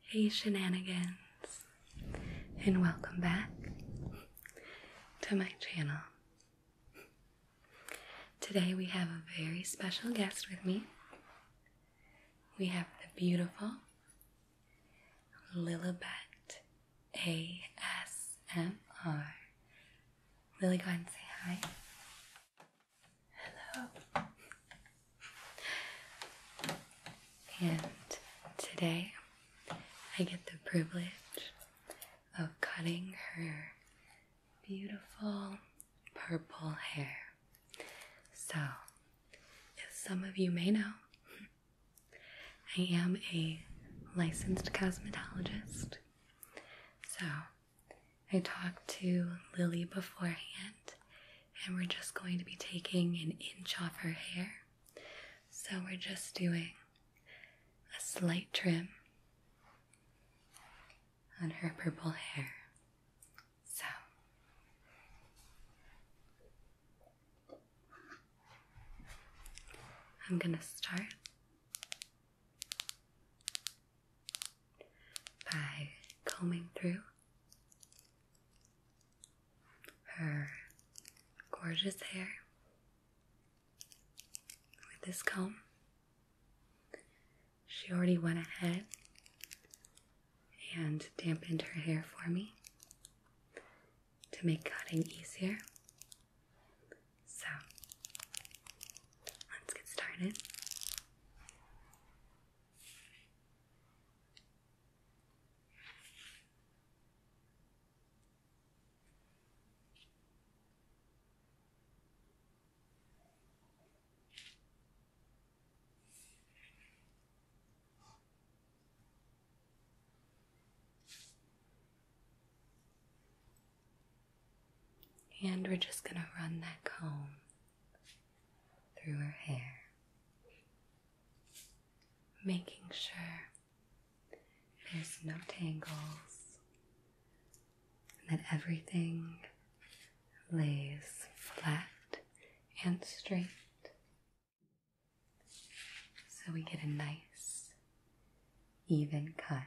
Hey, shenanigans, and welcome back to my channel. Today, we have a very special guest with me. We have the beautiful Lilibet ASMR. Lily, go ahead and say hi. Hello. And today I get the privilege of cutting her beautiful purple hair. So, as some of you may know, I am a licensed cosmetologist, so I talked to Lily beforehand, and we're just going to be taking an inch off her hair. So we're just doing a slight trim on her purple hair. So I'm going to start by combing through her gorgeous hair with this comb. She already went ahead and dampened her hair for me to make cutting easier. So let's get started. And we're just going to run that comb through her hair, making sure there's no tangles and that everything lays flat and straight. So we get a nice, even cut.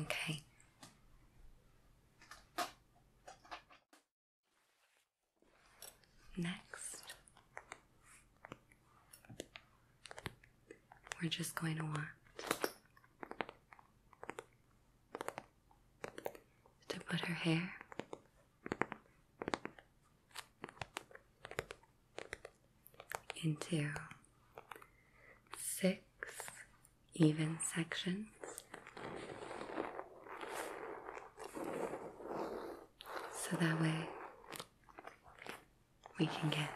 Okay. Next, we're just going to want to put her hair into six even sections. So that way we can get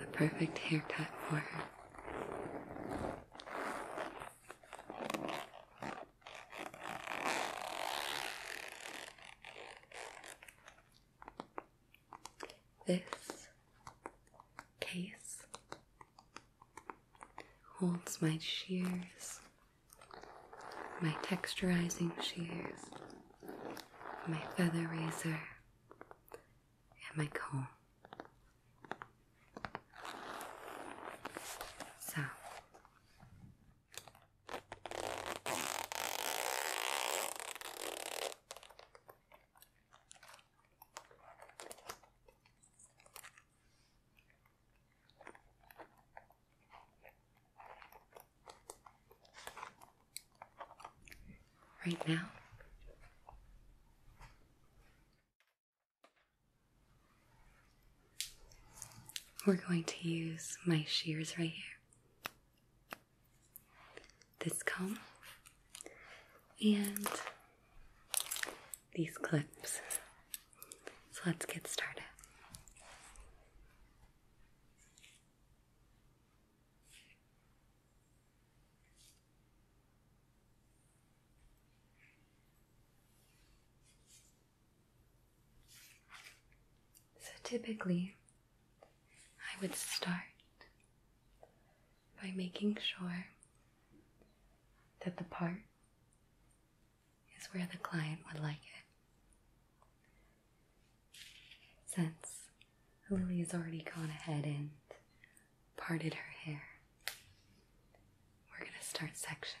the perfect haircut for her. This case holds my shears, my texturizing shears, my feather razor, and my comb. So Right now, we're going to use my shears right here this comb and these clips. So let's get started. So typically, I would start by making sure that the part is where the client would like it. Since Lily has already gone ahead and parted her hair, we're going to start sectioning.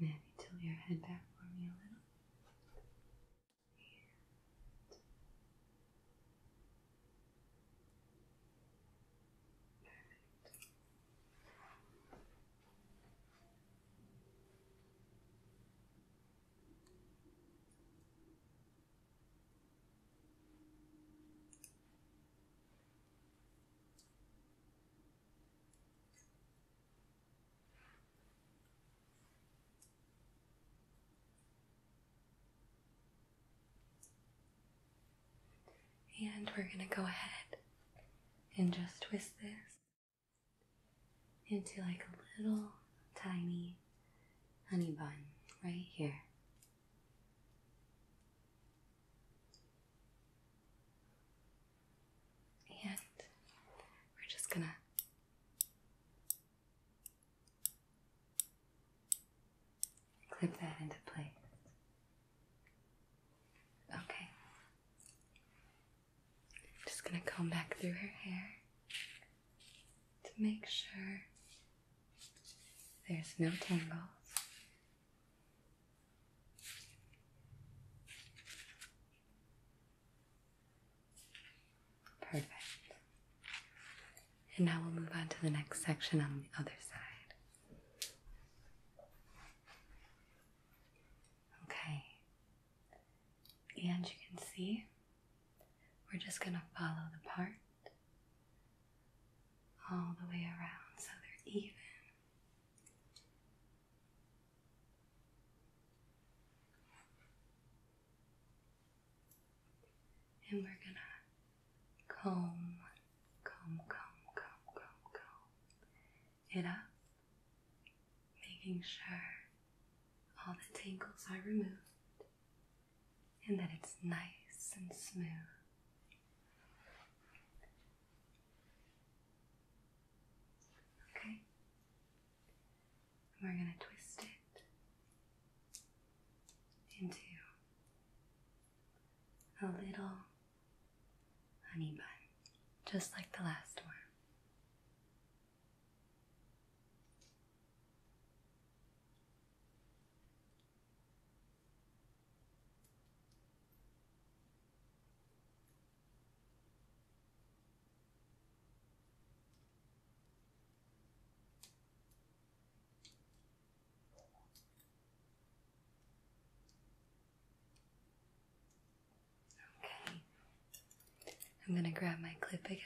Maybe tilt your head back for me a little. And Perfect. And we're going to go ahead and just twist this into like a little tiny honey bun right here. And we're just gonna clip that into place. Okay. just gonna comb back through her hair to make sure there's no tangles. Perfect. And now we'll move on to the next section on the other side. Okay. And you can see we're just going to follow the part all the way around so they're even. And we're going to comb, comb, comb, comb, comb, comb it up, making sure all the tangles are removed and that it's nice and smooth. Okay, we're going to twist it into a little honey bun, just like the last one. Okay, I'm going to grab my clip again.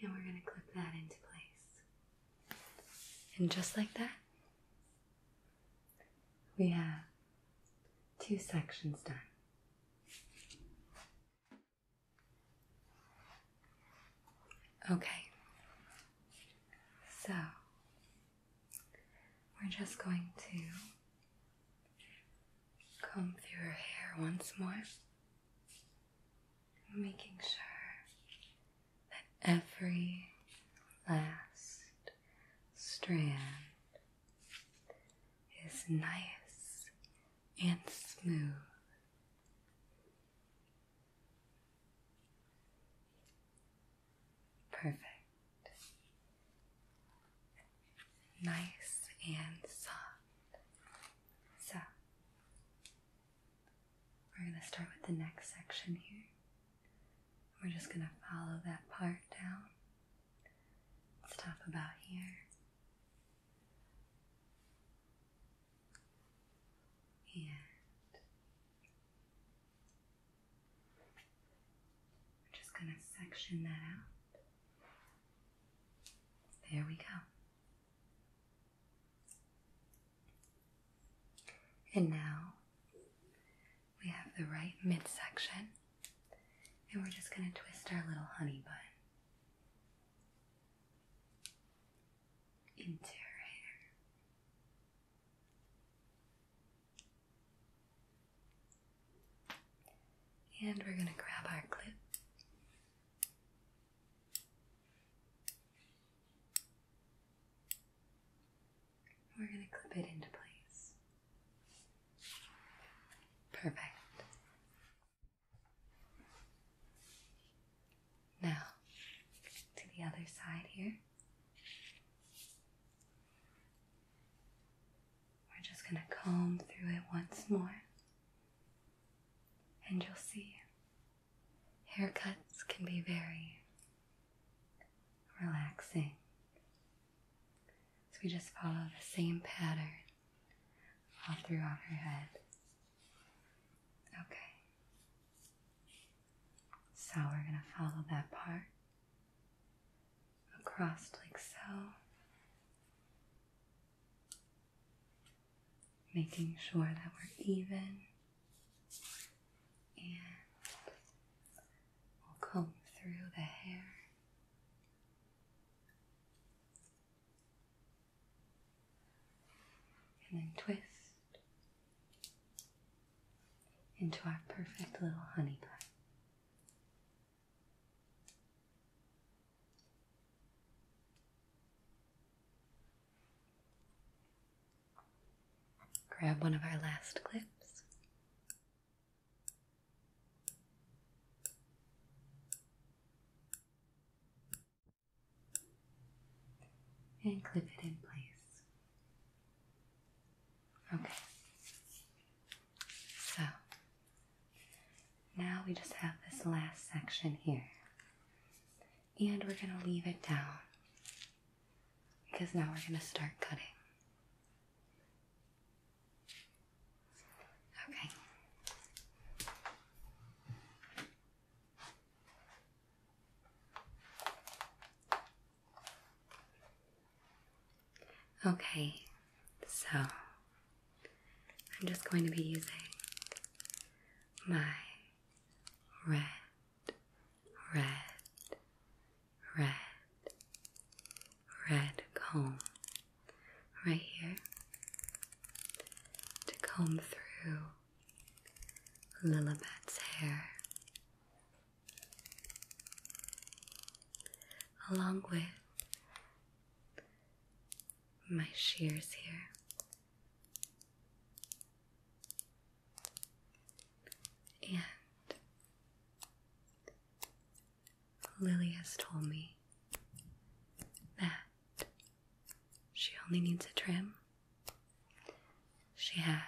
And we're going to clip that into place. And just like that, we have two sections done. Okay, so we're just going to comb through her hair once more, making sure that every last strand is nice and smooth. Perfect. Nice and soft. So, we're going to start with the next section here. We're just going to follow that part down. Stuff about here. And we're just going to section that out. There we go. And now we have the right midsection, and we're just going to twist our little honey bun into her hair. And we're going to grab our clip. We're going to clip it into place. Perfect. Now, to the other side here. We're just going to comb through it once more, and you'll see haircuts can be very relaxing. So we just follow the same pattern all throughout her head. Okay. So we're going to follow that part across like so, making sure that we're even and we'll comb through the hair. And then twist into our perfect little honey pot. Grab one of our last clips. And clip it in place. Okay. So now we just have this last section here. And we're going to leave it down because now we're going to start cutting. Okay. Okay, so I'm just going to be using my red, red, red, red comb right here to comb through Lilibet's hair along with my shears here. And Lily has told me that she only needs a trim she has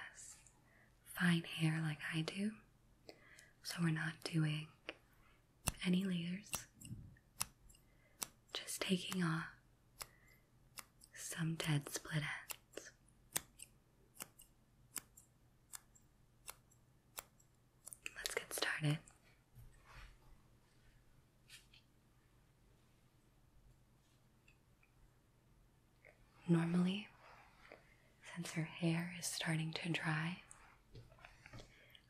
fine hair like I do, so we're not doing any layers, just taking off some dead split ends. Let's get started. Normally, since her hair is starting to dry,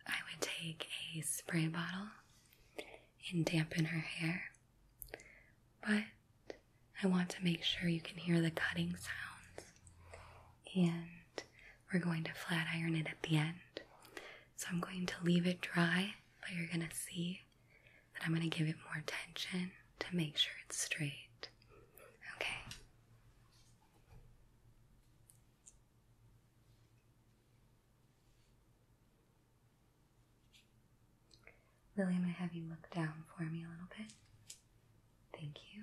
I would take a spray bottle and dampen her hair, but I want to make sure you can hear the cutting sounds, and we're going to flat iron it at the end. So I'm going to leave it dry, but you're going to see and I'm going to give it more attention to make sure it's straight. Okay. Lily, I'm going to have you look down for me a little bit. Thank you.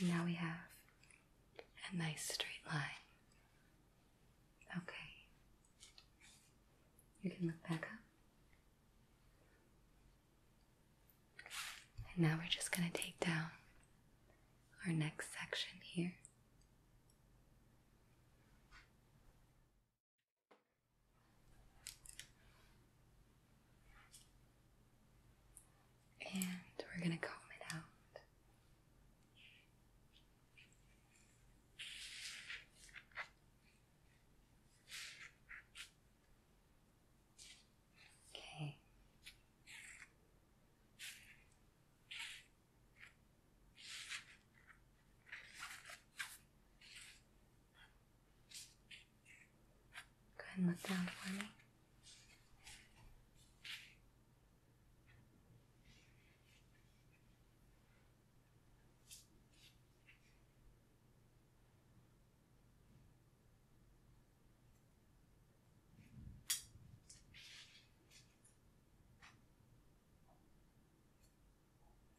Now we have a nice straight line. Okay. You can look back up. And now we're just going to take down our next section here. And we're going to comb it out. Okay. Go ahead look down for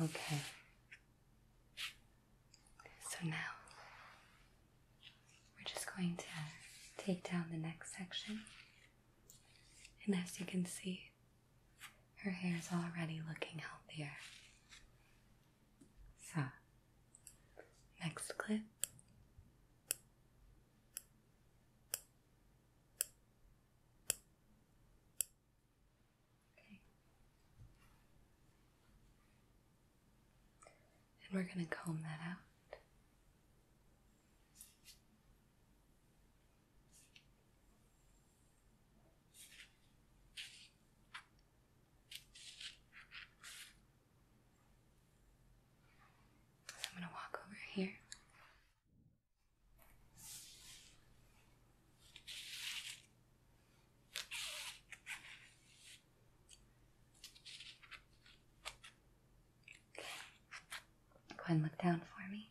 Okay. So now we're just going to take down the next section. And as you can see, her hair is already looking healthier. So, next clip. And we're going to comb that out. I'm going to walk over here. Go ahead and look down for me.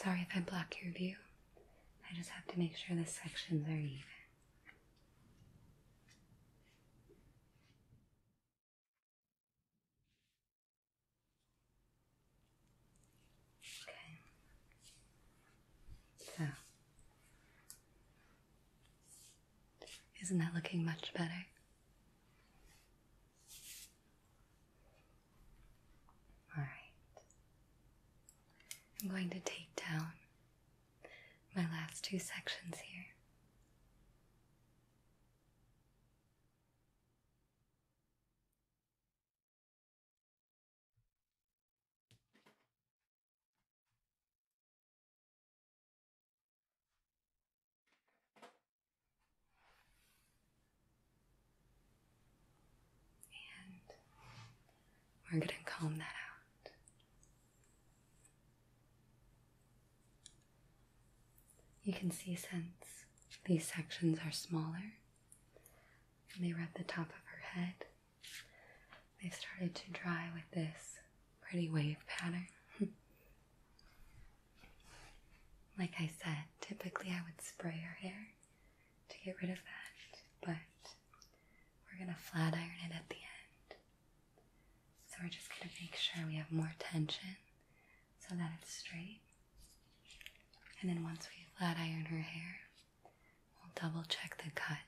Sorry if I block your view. I just have to make sure the sections are even. Okay. So, isn't that looking much better? All right. I'm going to take down my last two sections here we're going to comb that out. You can see since these sections are smaller, and they rub the top of her head. they started to dry with this pretty wave pattern. like I said, typically I would spray her hair to get rid of that, but we're gonna flat iron it at the end. So we're just gonna make sure we have more tension so that it's straight. And then once we flat iron her hair, we'll double check the cut.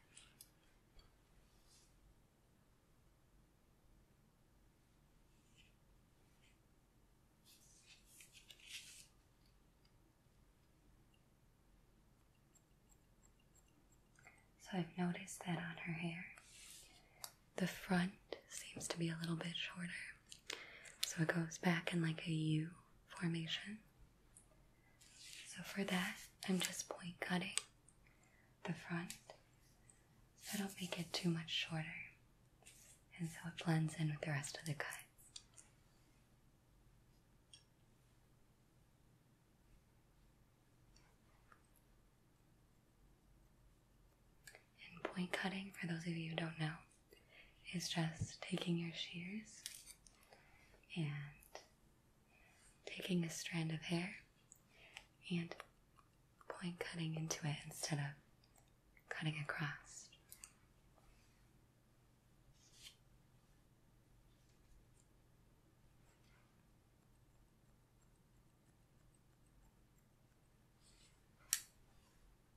So I've noticed that on her hair, the front seems to be a little bit shorter so it goes back in like a U formation. So for that, I'm just point cutting the front so I don't make it too much shorter and so it blends in with the rest of the cut. And point cutting, for those of you who don't know, is just taking your shears and taking a strand of hair and point cutting into it instead of cutting across.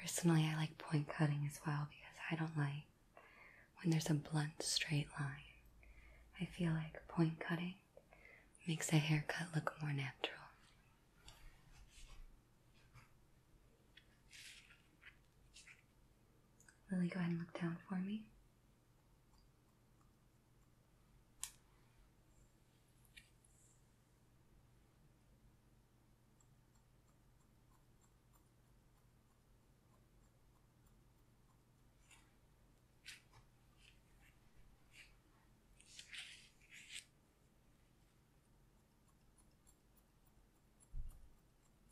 Personally, I like point cutting as well because I don't like when there's a blunt straight line. I feel like point cutting makes a haircut look more natural. Lily, go ahead and look down for me.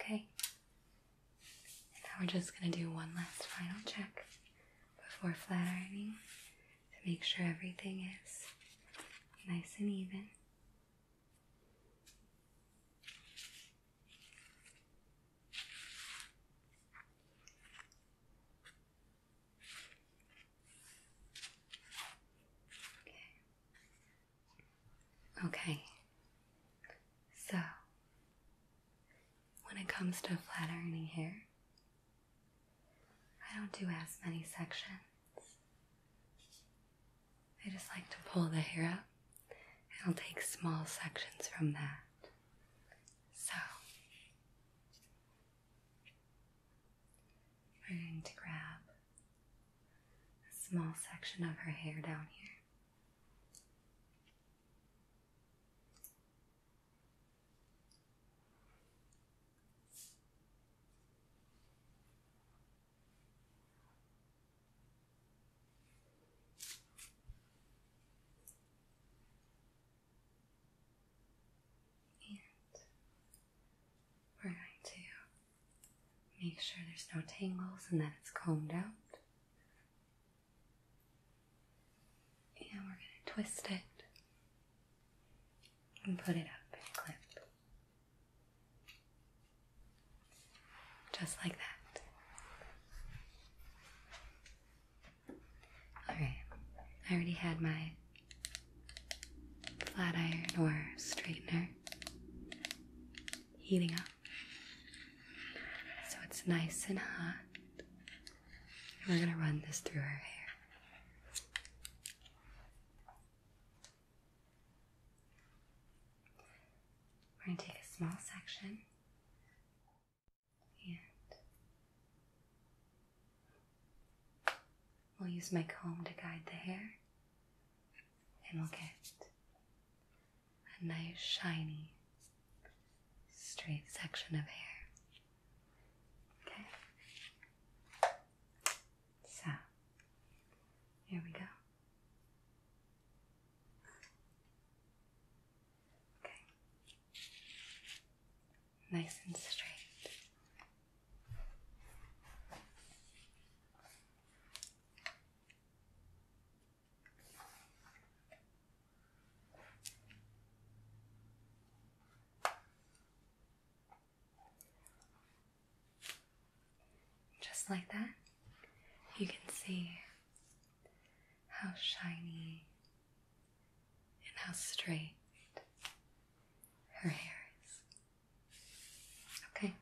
Okay, now we're just going to do one last final check before flat ironing to make sure everything is nice and even. Okay. Okay. So, when it comes to flat ironing hair, I don't do as many sections. I just like to pull the hair up I'll take small sections from that. So, I'm going to grab a small section of her hair down here. And we're going to make sure there's no tangles and that it's combed out. And we're going to twist it and put it up and clip. Just like that. Alright, I already had my flat iron or straightener heating up. So it's nice and hot. we're going to run this through our hair. We're going to take a small section and we'll use my comb to guide the hair and we'll get a nice shiny straight section of hair. Okay. So, here we go. Okay. Nice and straight. Just like that, you can see how shiny and how straight her hair is. Okay,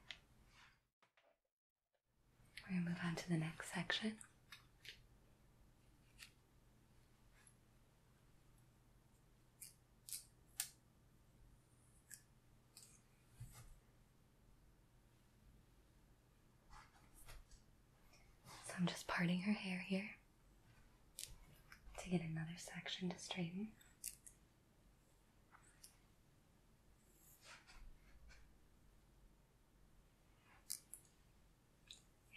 we're going to move on to the next section. So I'm just parting her hair here to get another section to straighten.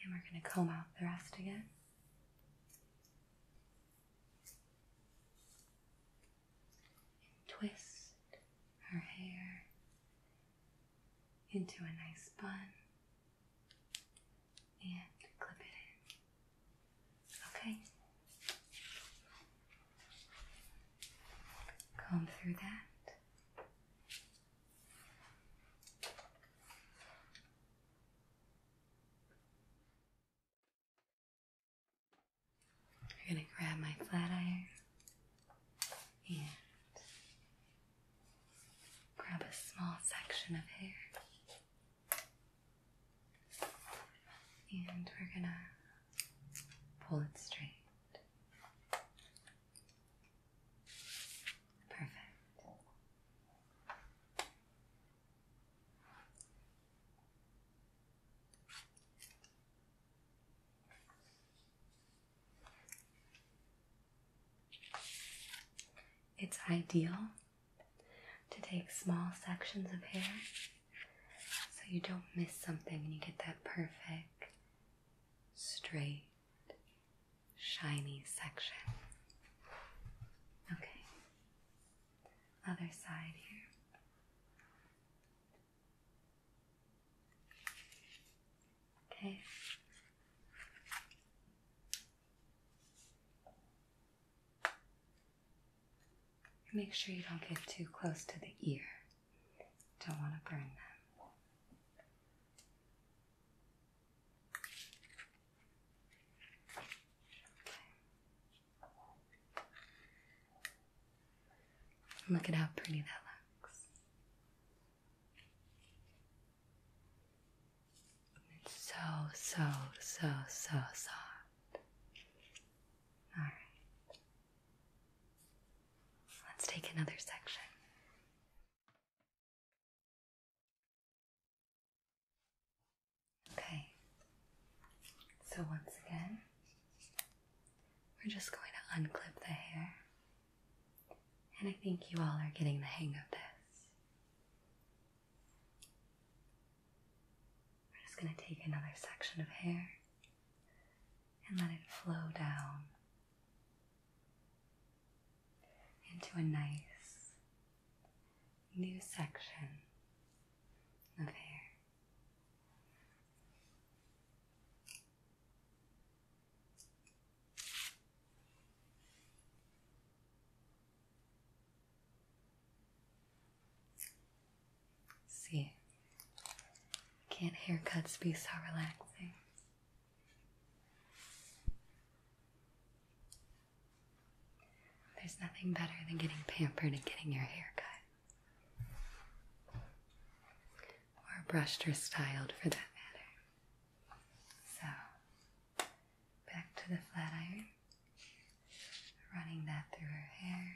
And we're going to comb out the rest again. Twist her hair into a nice bun and clip it in. Okay. Comb through that i are going to grab my flat iron and grab a small section of hair. And we're going to pull it straight. Perfect. It's ideal to take small sections of hair so you don't miss something and you get that perfect, straight, shiny section. Okay, other side here. Okay. Make sure you don't get too close to the ear. Don't want to burn them. Look at how pretty that looks. It's so, so, so, so soft. All right. Let's take another section. Okay, so once again, we're just going to unclip the hair, and I think you all are getting the hang of this. We're just going to take another section of hair and let it flow down into a nice new section of hair. See, can't haircuts be so relaxing? There's nothing better than getting pampered and getting your hair cut or brushed or styled for that matter. So, back to the flat iron, running that through her hair.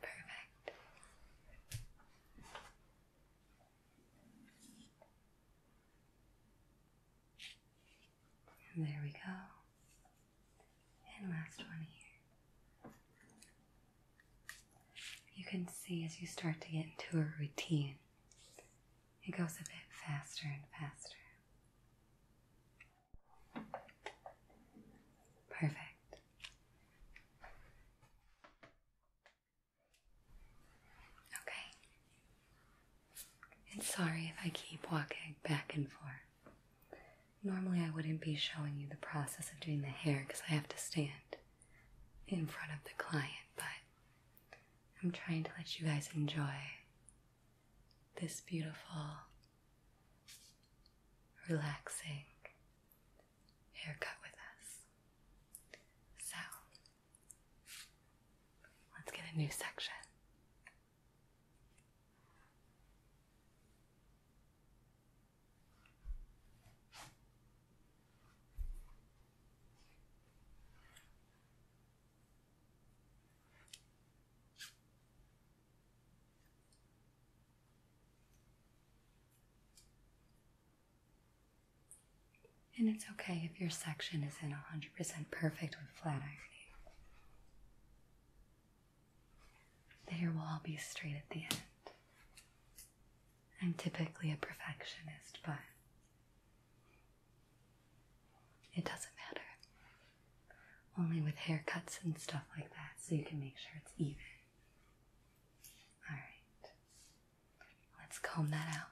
Perfect. And there we go. And last one here. You can see as you start to get into a routine, it goes a bit faster and faster. Perfect. Okay. And sorry if I keep walking back and forth. Normally, I wouldn't be showing you the process of doing the hair because I have to stand in front of the client, but I'm trying to let you guys enjoy this beautiful, relaxing haircut with us. So, let's get a new section. And it's okay if your section isn't 100% perfect with flat ironing. The hair will all be straight at the end. I'm typically a perfectionist, but it doesn't matter. Only with haircuts and stuff like that, so you can make sure it's even. Alright. Let's comb that out.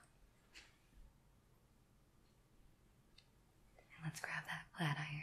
let's grab that flat iron.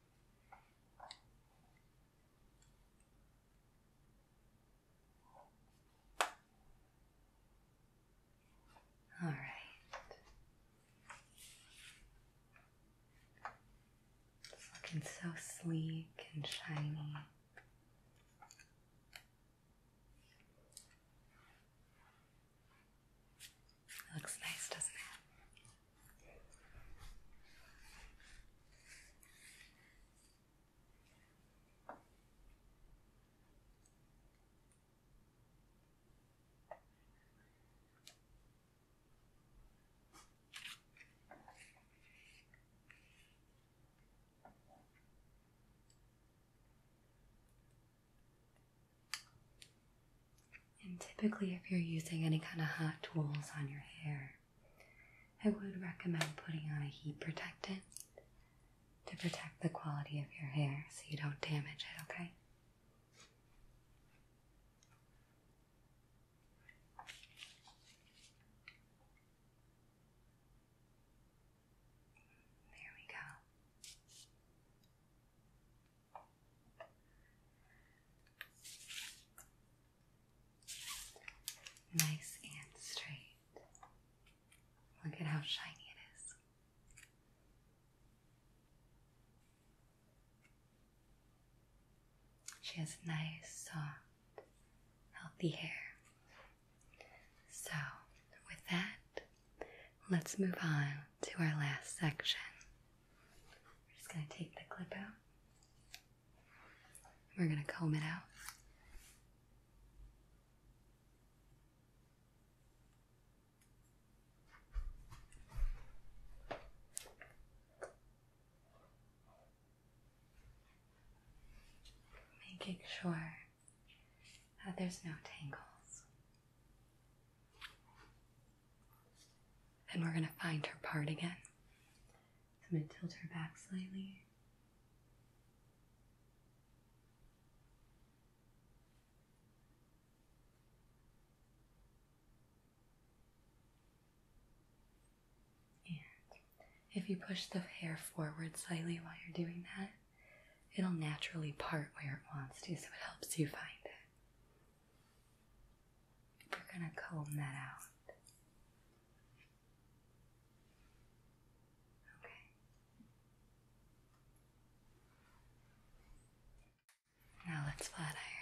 All right. It's looking so sleek and shiny looks nice, doesn't it? And typically, if you're using any kind of hot tools on your hair, I would recommend putting on a heat protectant to protect the quality of your hair so you don't damage it, okay? There we go. Nice and straight. Look at how shiny it is. She has nice, soft, healthy hair. So, with that, let's move on to our last section we're just going to take the clip out. We're going to comb it out. Making sure that there's no tangles. And we're going to find her part again. I'm going to tilt her back slightly. And if you push the hair forward slightly while you're doing that, it'll naturally part where it wants to, so it helps you find it. We're going to comb that out. Okay. Now let's flat iron.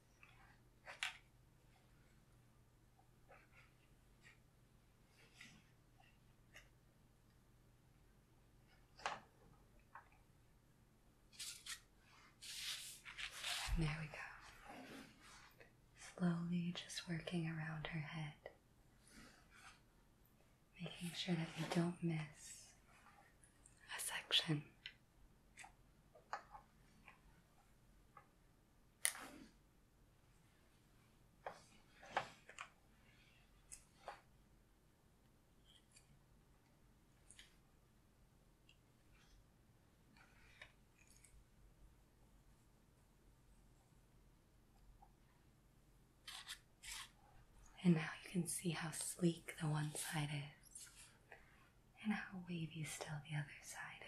And there we go. Slowly just working around her head, making sure that we don't miss a section. And now you can see how sleek the one side is and how wavy still the other side is.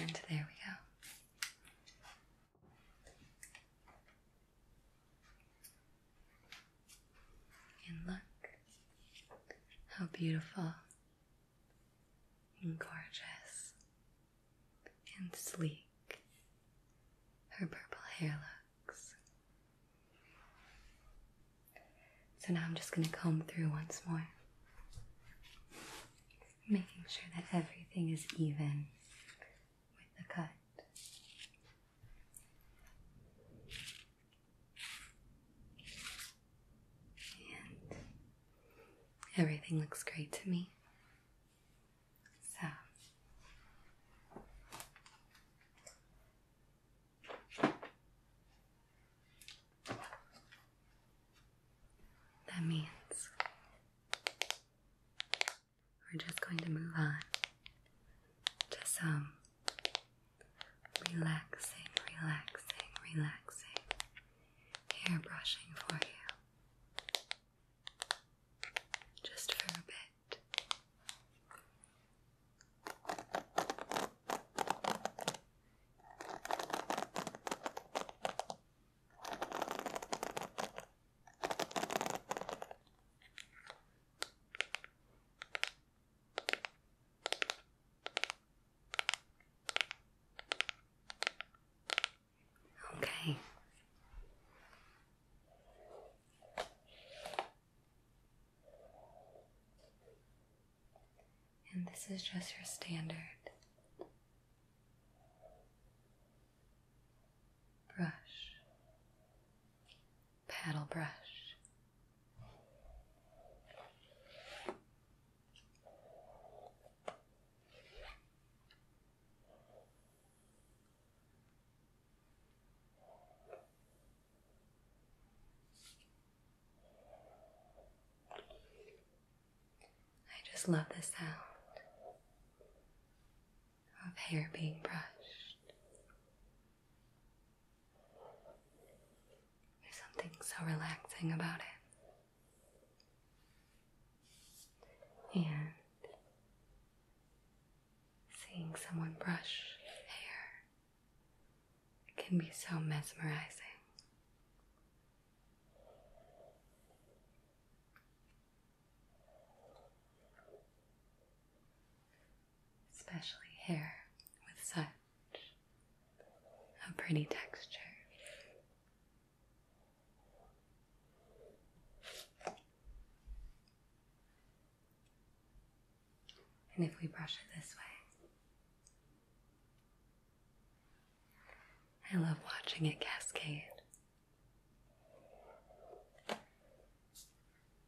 And there we go. And look how beautiful and gorgeous and sleek her purple hair looks. So now I'm just going to comb through once more, making sure that everything is even with the cut. And everything looks great to me. So that means we're just going to move on to some Relaxing, relaxing, relaxing. Hair brushing for you. Just for a bit. Okay. And this is just your standard brush paddle brush. I just love the sound of hair being brushed there's something so relaxing about it. And seeing someone brush hair can be so mesmerizing especially hair with such a pretty texture. And if we brush it this way, I love watching it cascade.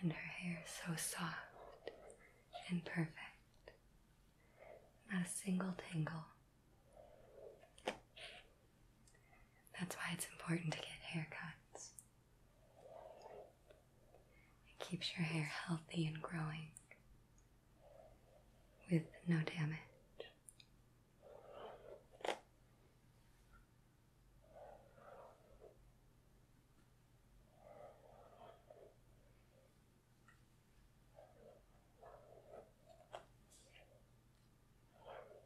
And her hair is so soft and perfect. Not a single tangle. That's why it's important to get haircuts. It keeps your hair healthy and growing with no damage.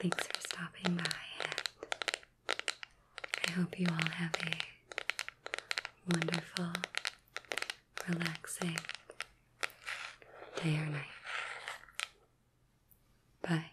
Thanks for stopping by, and I hope you all have a wonderful, relaxing day or night. Bye.